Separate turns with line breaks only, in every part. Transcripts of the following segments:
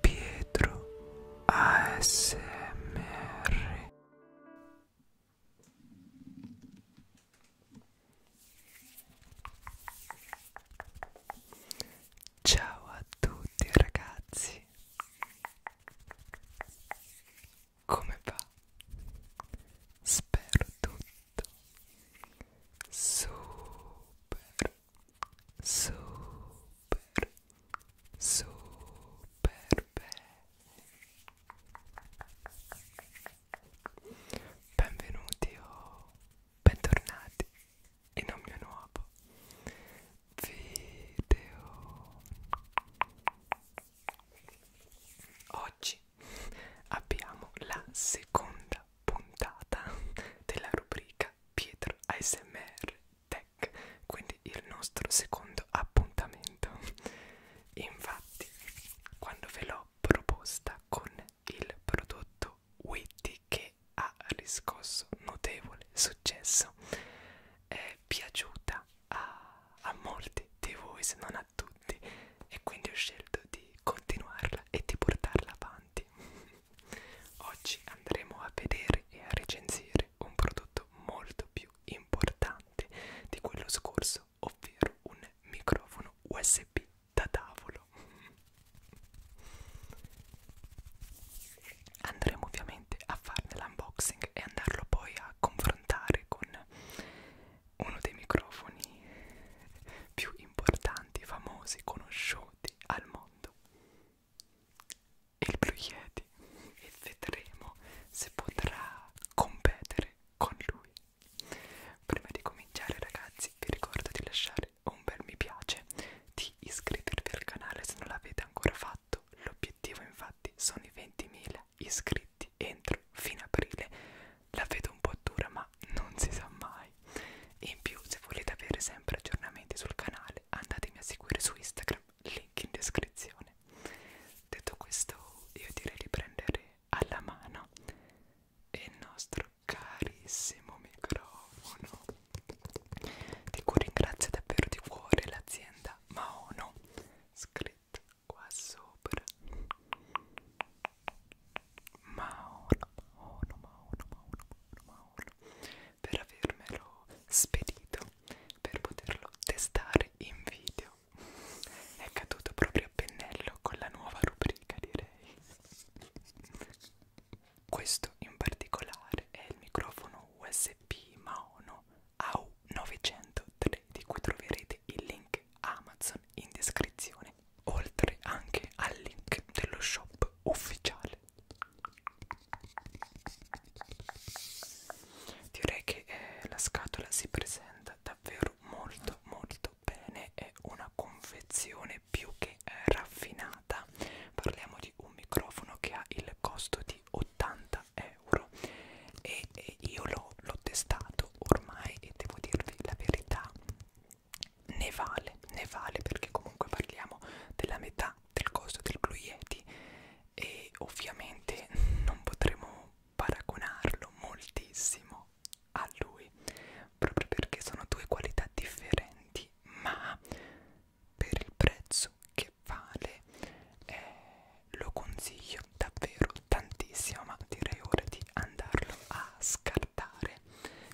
Pietro ASMR Ciao a tutti ragazzi Come va? Spero tutto super super super belli benvenuti o bentornati in un mio nuovo video oggi abbiamo la seconda puntata della rubrica Pietro ASMR Tech, quindi il nostro secondo appuntamento. Infatti, quando ve l'ho proposta con il prodotto Witty che ha riscosso notevole successo, è piaciuta a, a molti di voi, se non a tutti, e quindi ho scelto di continuarla e di portarla avanti. Oggi andremo a vedere e a recensire un prodotto molto più importante di quello scorso, ovvero un microfono USB da tavolo. Andremo ovviamente a farne l'unboxing e andarlo poi a confrontare con uno dei microfoni più importanti, famosi, conosciuti al mondo mondo e il Blue Yeti e vedremo se potrà competere con lui prima di cominciare ragazzi vi ricordo di lasciare un bel mi piace di iscrivervi al canale se non l'avete ancora fatto l'obiettivo infatti sono i 20.000 iscritti entro fine aprile la vedo un po' dura ma ma non si sa mai e in più se volete avere sempre aggiornamenti sul canale andatemi a seguire su Instagram link in descrizione detto questo io direi di prendere alla mano il nostro carissimo microfono di cui ringrazio davvero di cuore l'azienda Maono scritta qua sopra Maono, Maono, Maono, Maono, Maono per avermelo spedito per poterlo testare in video è caduto proprio a pennello con la nuova rubrica direi questo in particolare è il microfono usb maono au 903 di cui troverete il link amazon in descrizione descrizione, oltre anche al link dello shop ufficiale. Direi che eh, la scatola si presenta davvero molto molto bene, è una confezione più che eh, raffinata. Parliamo di un microfono che ha il costo di 80 euro e, e io l'ho testato ormai e devo dirvi la verità ne vale, ne vale perché comunque parliamo della metà del costo del Blue Yeti e ovviamente non potremo paragonarlo moltissimo a lui proprio perché sono due qualità differenti ma per il prezzo che vale eh, lo consiglio davvero tantissimo ma direi ora di andarlo a scartare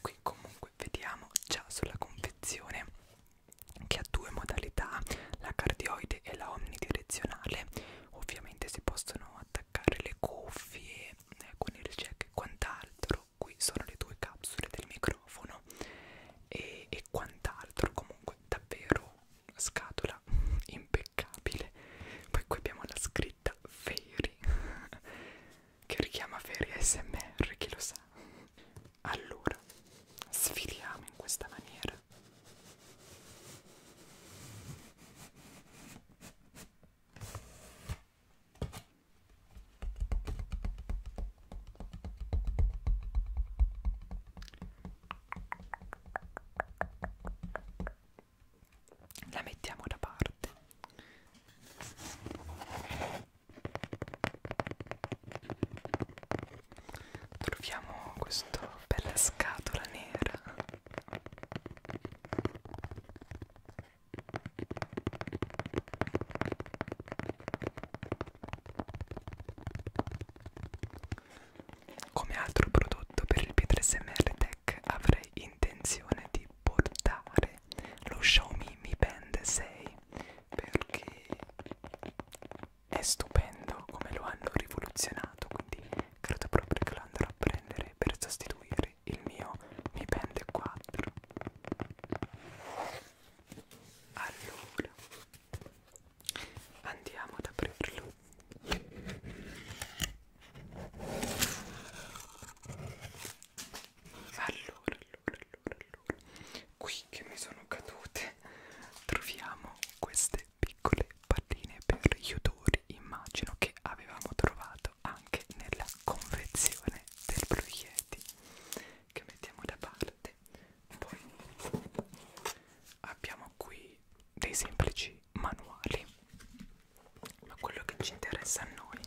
qui comunque comunque vediamo già sulla confezione che ha due modalità la cardioide e la omnidirezionale ovviamente si possono attaccare le cuffie eh, con il jack e quant'altro qui sono le due capsule del microfono e, e quant'altro comunque davvero scatola impeccabile poi qui abbiamo la scritta Fairy che richiama veri ASMR, chi lo sa. Allora, sfiliamo in questa maniera. La mettiamo da parte Troviamo questa bella scatola nera. Come altro prodotto per il P3SMR Tech avrei intenzione di portare comprare lo Xiaomi Mi Band 6 perché è stupendo come lo hanno rivoluzionato quindi credo proprio che lo andrò a prendere per sostituire il mio Mi Band 4 allora andiamo ad aprirlo allora, allora, allora, allora, qui che mi sono cadute troviamo queste piccole palline per gli odori, immagino che avevamo trovato anche nella confezione del Blue Yeti, che mettiamo da parte. Poi abbiamo qui dei semplici manuali ma quello che ci interessa a noi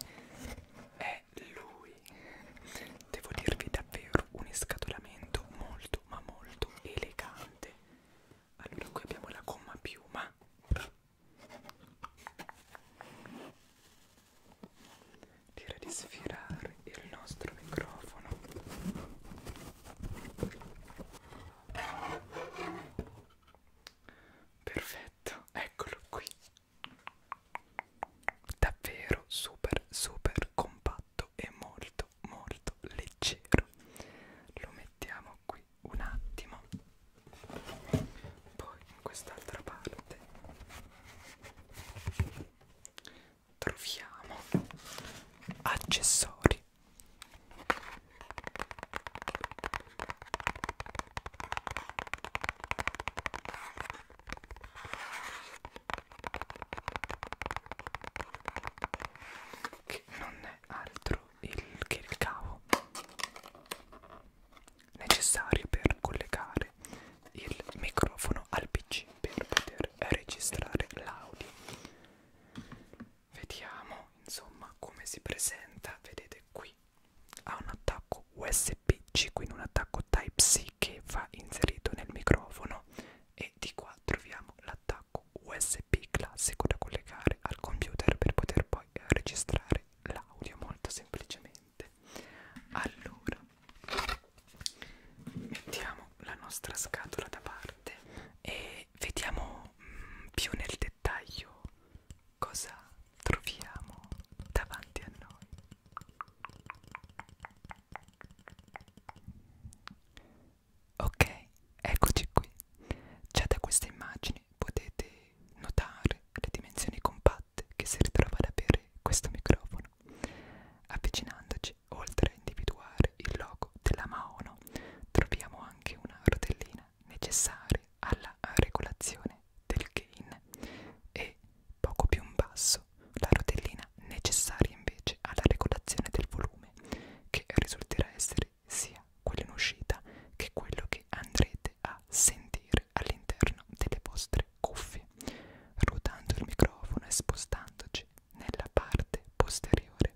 è lui devo dirvi davvero un escatolamento molto ma molto elegante allora qui abbiamo la gomma piuma direi di sfirare il nostro microfono perfetto eccolo qui davvero super super compatto e molto molto leggero lo mettiamo qui un attimo poi in quest'altra parte troviamo accessori che non è altro il, che il cavo necessario per collegare il microfono al pc per poter registrare l'audio vediamo insomma come si presenta vedete qui ha un attacco USB-C, quindi un attacco Type-C che va inserito nel microfono e di qua troviamo l'attacco USB classico da collegare al computer per poter poi registrare l'audio molto semplicemente. Allora, mettiamo la nostra scatola da parte e vediamo mh, mm, più nel dettaglio cosa troviamo davanti a noi. Ok, eccoci qui. Già da queste immagini potete notare le dimensioni compatte che si ritrova ad avere questo microfono. Avvicinandoci, oltre a individuare il logo della Maono, troviamo anche una rotellina necessarie alla regolazione del gain e poco più in basso la rotellina necessaria invece alla regolazione del volume che risulterà essere sia quello in uscita che quello che andrete a sentire all'interno delle vostre cuffie ruotando il microfono e spostandoci nella parte posteriore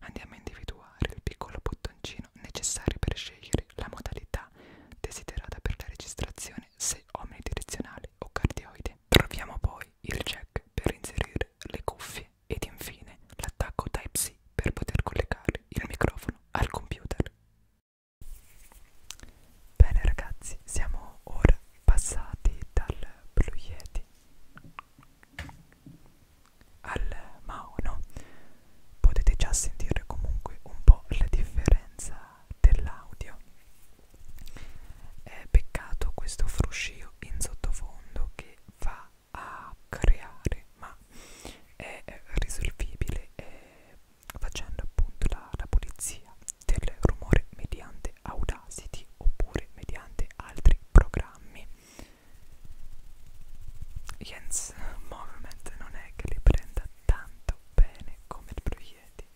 andiamo a individuare il piccolo bottoncino necessario per scegliere la modalità modalità desiderata per la registrazione se omnidirezionale o cardioide. Troviamo poi il jack per inserire le cuffie ed infine l'attacco Type-C per poter collegare il microfono al computer. Bene ragazzi, siamo ora passati dal Blue Yeti al Mauno potete già sentire comunque un po' la differenza dell'audio è peccato questo fruscio in sottofondo che va a creare ma è risolvibile eh, facendo appunto la, la pulizia del rumore mediante Audacity oppure mediante altri programmi Jens Dance Movement non è che li prenda tanto bene come il Blue Yeti.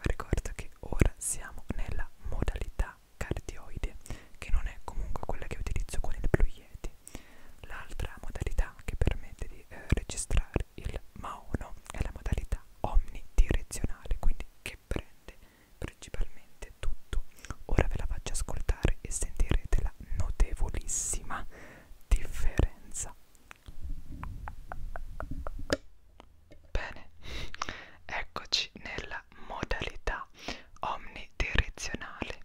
Ricordo che ora siamo nella modalità cardioide, che non è comunque quella che utilizzo con il Blue Yeti. L'altra modalità che permette di eh, registrare il Mauno è la modalità omnidirezionale, quindi che prende principalmente tutto. Ora ve la faccio ascoltare e sentirete la notevolissima differenza bene eccoci nella modalità omnidirezionale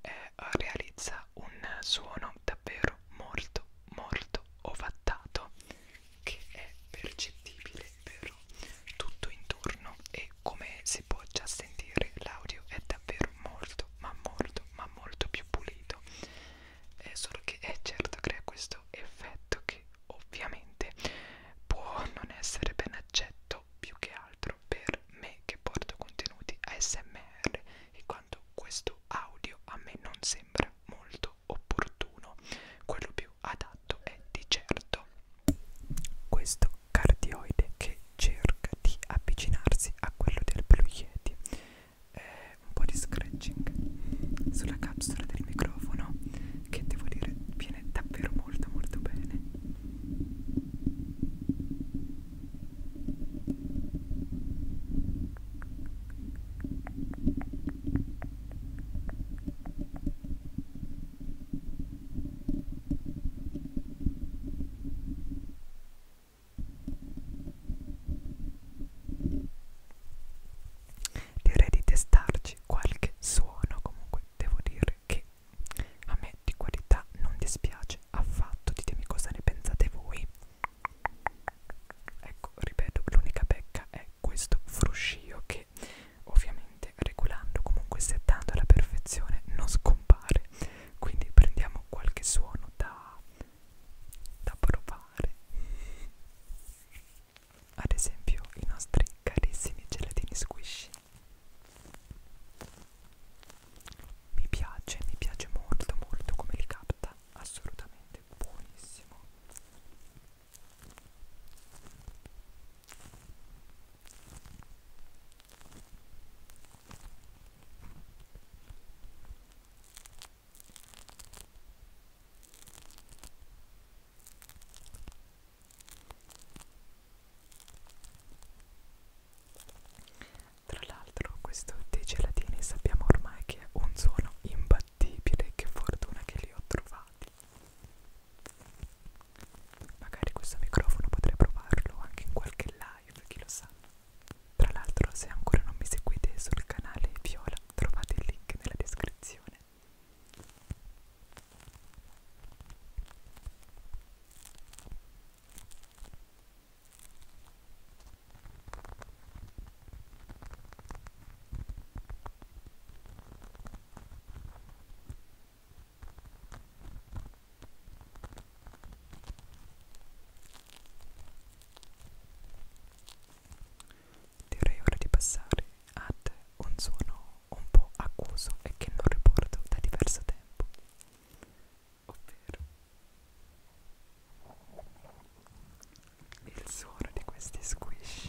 eh, realizza un suono davvero molto molto ovattato che è percettibile per tutto intorno e come si può già sentire l'audio è davvero molto molto ma molto ma molto più pulito è eh, solo che è eh, certo crea questo effetto che ovviamente può non essere ben accetto più che altro per me che porto contenuti ASMR e quando questo audio a me non sembra molto opportuno quello più adatto è di certo questo cardioide che cerca di avvicinarsi a quello del Blue Yeti eh, un po' di scratching sulla capsula del microfono che devo dire viene davvero molto molto bene Direi di testarci qualche suono, comunque devo dire che a me di qualità non dispiace affatto, ditemi cosa ne pensate voi. Ecco, ripeto, l'unica pecca è questo fruscio che ovviamente regolando, comunque settando alla perfezione, non scompare quindi prendiamo qualche suono da, da provare ad esempio i nostri carissimi gelatini squishy mi piace, mi piace molto molto come li capta assolutamente buonissimo tra l'altro questo dei gelatini sappiamo ormai che è un suono imbattibile, che fortuna che li ho trovati. Magari questo microfono potrei provarlo anche in qualche live, chi lo sa. Tra l'altro se ancora non mi seguite sul canale Viola trovate il link nella descrizione. Direi ora di passare ad un suono un po' accuso e che non riporto da diverso tempo, ovvero il suono di questi squish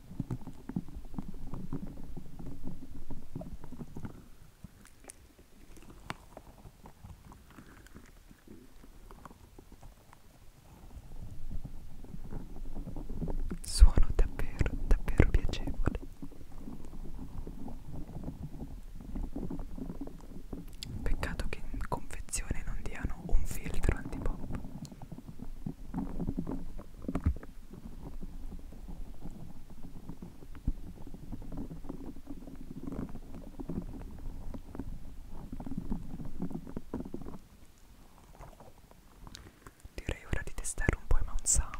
Suono davvero, davvero piacevole. Peccato che in confezione non diano un filtro antipop. Direi ora di testare un po' i mount sound.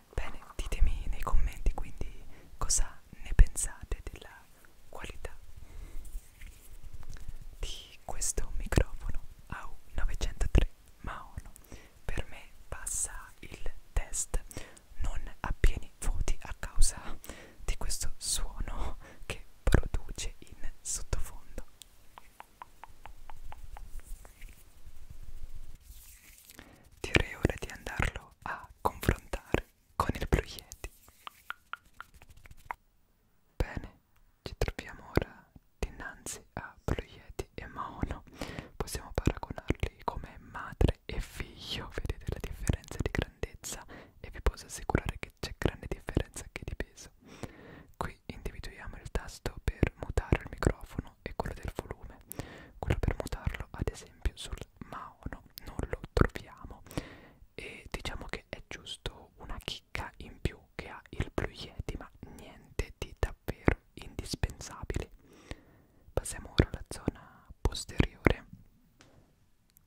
Bene, ditemi nei commenti quindi cosa ne pensate della qualità di questo microfono AU903 Maono. Per me passa il test, non a pieni voti a causa di questo suono che produce in sottofondo direi ora di andarlo a confrontare con il Blue Yeti. Bene, ci troviamo ora dinanzi a Blue Yeti e Maono. Possiamo paragonarli come madre e figlio, vedete la differenza di grandezza e vi posso assicurare che c'è grande differenza anche di peso. Qui individuiamo il tasto per mutare il microfono tono e quello del volume. Quello per mutarlo, ad esempio, sul Maono non lo troviamo e diciamo che è giusto una chicca in più che ha il Blue Yeti, ma niente di davvero indispensabile. Passiamo ora alla zona posteriore.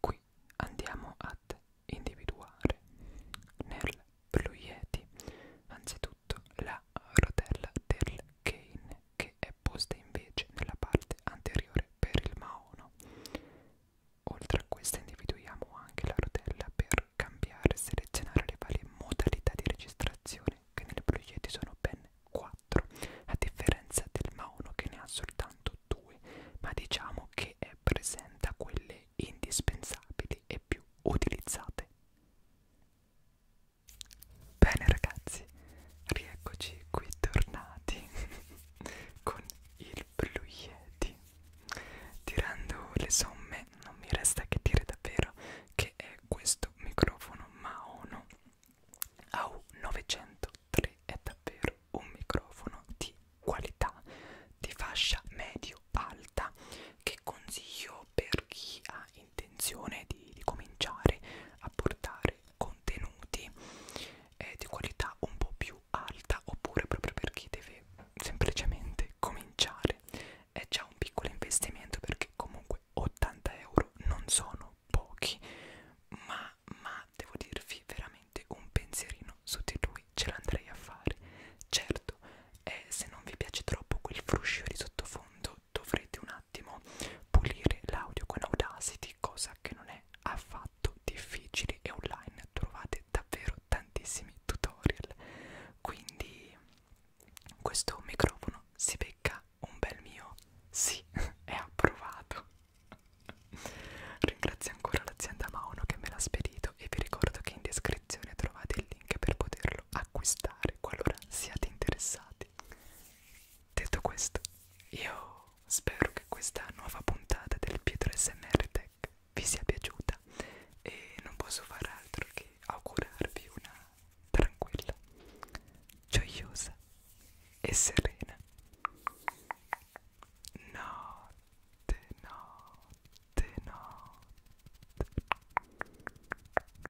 Qui andiamo ad individuare nel Blue Yeti anzitutto la rotella del cane che è posta invece nella parte anteriore per il maono. Oltre a questa individuiamo anche la rotella per cambiare e selezionare le varie modalità di registrazione che nelle proietti sono ben 4, a differenza del Mauno che ne ha soltanto 2, ma diciamo che è presente a quelle indispensabili e più utilizzate. Bene ragazzi, rieccoci qui tornati con il Blue Yeti. Tirando le somme non mi resta che dire davvero che è questo microfono Maono AU903 è davvero un microfono di qualità di fascia medio alta che consiglio per chi ha intenzione di, di cominciare a portare contenuti eh, di qualità un po' più alta oppure proprio per chi deve semplicemente cominciare è già un piccolo investimento perché comunque 80 euro non sono pochi ma, ma devo dirvi veramente un pensierino su di lui ce l'andrei a fare certo eh, se non vi piace troppo quel fruscio di sottofondo dovrete un attimo pulire l'audio con Audacity, cosa che non è affatto difficile e online trovate davvero tantissimi tutorial. Quindi questo microfono si becca un bel mio sì, è approvato. Ringrazio ancora l'azienda Mauno che me l'ha spedito e vi ricordo che in descrizione trovate il link per poterlo poterlo acquistare qualora siate interessati. Detto questo, io spero che questa nuova puntata del Pietro SMR Tech vi sia piaciuta e non posso far altro che augurarvi una tranquilla, gioiosa e serena notte, notte, notte.